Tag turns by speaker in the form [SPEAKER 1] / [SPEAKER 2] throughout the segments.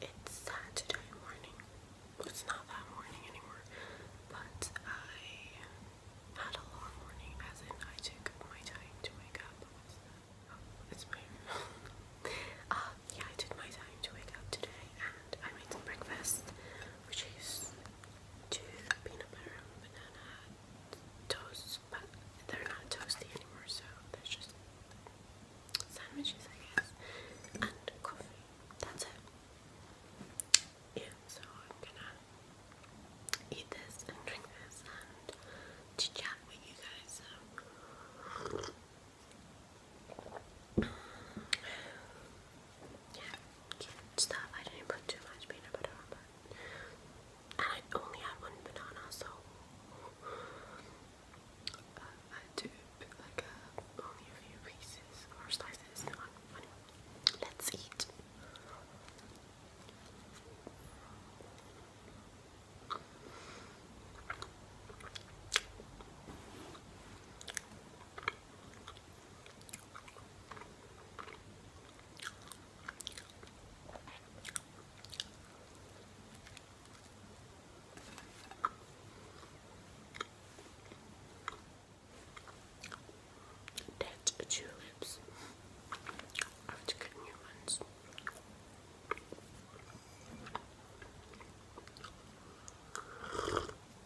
[SPEAKER 1] it's Saturday morning. It's not that morning anymore, but I had a long morning, as in I took my time to wake up. Oh, it's my uh, yeah, I took my time to wake up today, and I made some breakfast which is two peanut butter and banana toasts, but they're not toasty anymore, so they just sandwiches, I guess, and coffee. That's it. Yeah, so I'm gonna eat this and drink this and chit chat with you guys. Yeah, stuff. I didn't put too much peanut butter on that. I only had one banana, so uh, I took like uh, only a few pieces or slices. let's eat. That's tulips. I have to get new ones.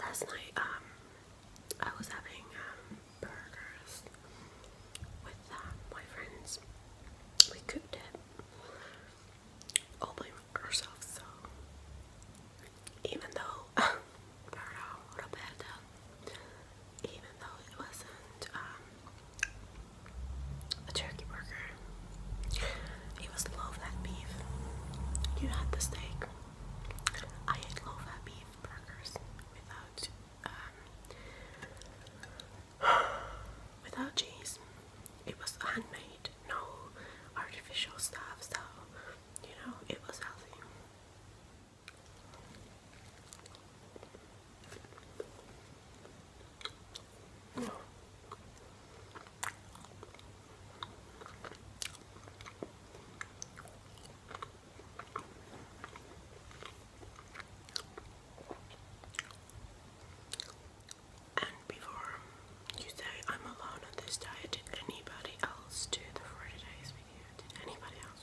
[SPEAKER 1] last night um I was having um, burgers with um, my friends. We cooked it all by ourselves so even though burned out a little even though it wasn't um a turkey burger you was love that beef. You had the steak. I ate love that beef burgers without um, without cheese. It was handmade, no artificial stuff, so you know it was healthy. And before you say I'm alone on this diet, anybody else do the 40 days with anybody else?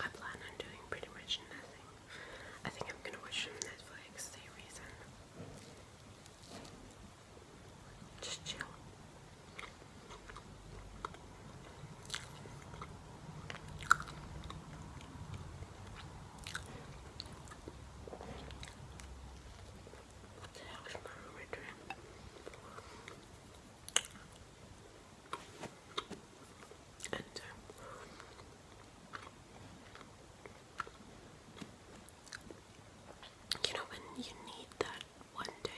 [SPEAKER 1] I plan on doing pretty much nothing. I think I'm gonna watch some Netflix series and just chill. What the hell is my roommate doing? Uh, you know, when you need that one day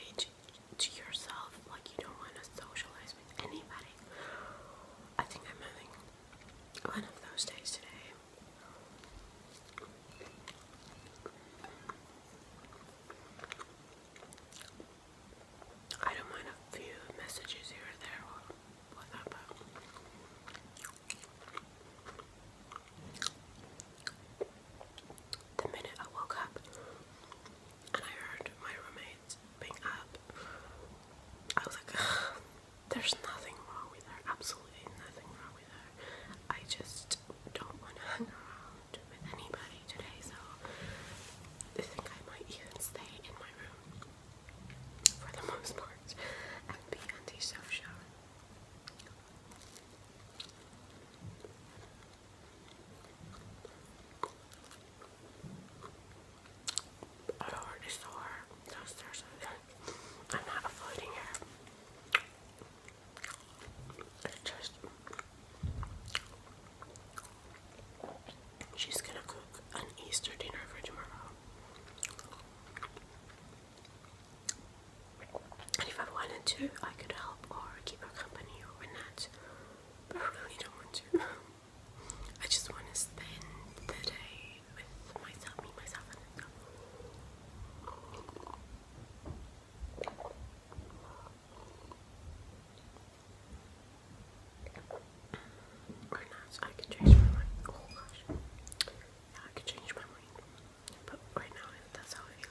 [SPEAKER 1] to yourself, like you don't want to socialize with anybody. I think I'm having one of those days today. I don't mind a few messages here or there or whatnot, the minute I woke up and I heard my roommates being up, I was like, there's nothing wrong with her, absolutely nothing wrong with her. I just don't want to hang around with anybody today, so I think I might even stay in my room for the most part and be antisocial. I already saw her downstairs. I'm not avoiding her. just She's gonna cook an Easter dinner for tomorrow. And if I wanted to, I could help or keep her company or not. But I really don't want to. I just want to spend the day with myself, me, myself, and myself. Or not, I could change my mind. Oh gosh. I could change my mind. But right now, that's how I feel.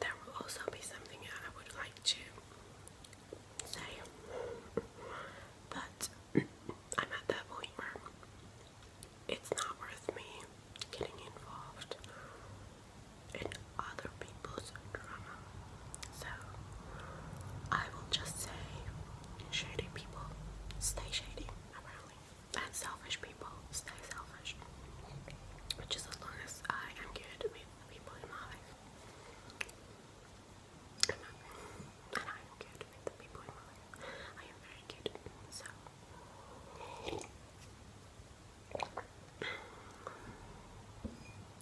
[SPEAKER 1] There will also be something I would like to say, but I'm at that point where it's not worth me getting involved in other people's drama. So I will just say, shady people, stay shady, apparently. And selfish people, stay selfish. Which is as long as I am good with the people in my life. And I am good with the people in my life. I am very good. So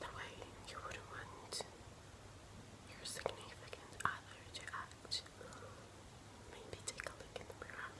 [SPEAKER 1] the way you would want your significant other to act. Maybe take a look in the mirror.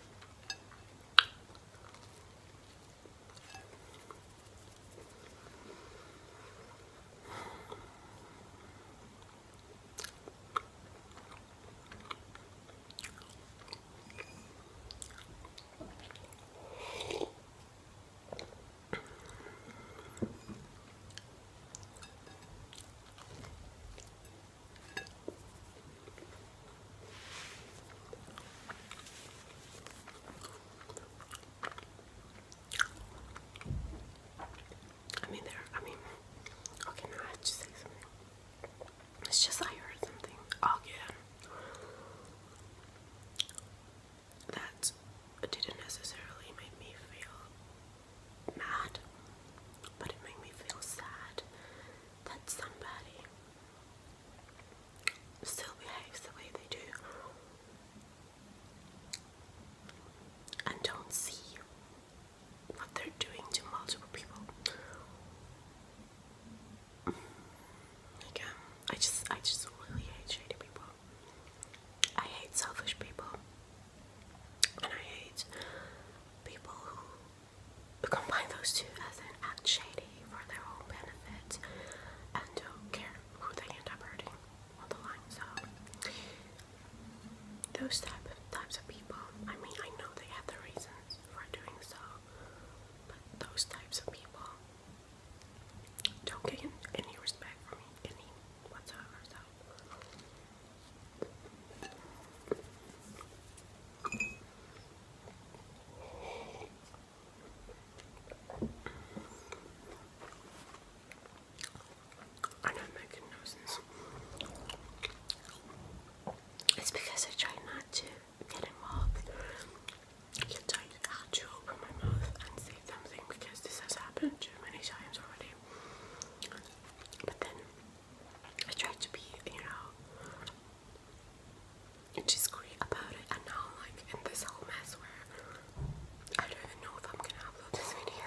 [SPEAKER 1] I mean, there, I mean, okay, now I have say something. It's just I heard something. Oh, that didn't necessarily make me feel mad, but it made me feel sad that somebody still behaves the way they do and don't see what they're doing to multiple people. Like, I just, I just really hate shady people. I hate selfish people, and I hate people who combine those two as an act shady for their own benefit and don't care who they end up hurting on the line. So those type types of people, I mean, I know they have the reasons for doing so, but those types of people don't get any respect from me, any whatsoever. I know I'm making noises. It's because I try not to get involved. You don't catch your my mouth and say something because this has happened too many times already. But then I try to be, you know, discreet about it. And now am like in this whole mess where I don't even know if I'm gonna upload this video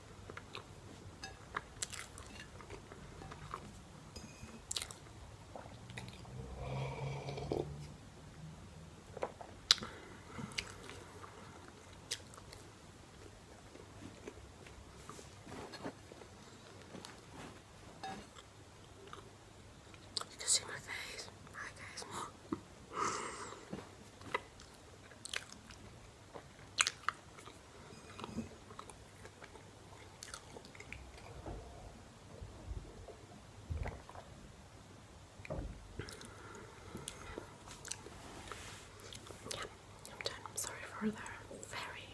[SPEAKER 1] You can see my face. Hi guys. Yeah, I'm done. sorry for the very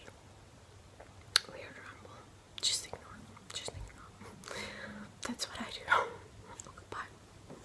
[SPEAKER 1] weird rumble. Just ignore. Just ignore. That's what I do. Bye.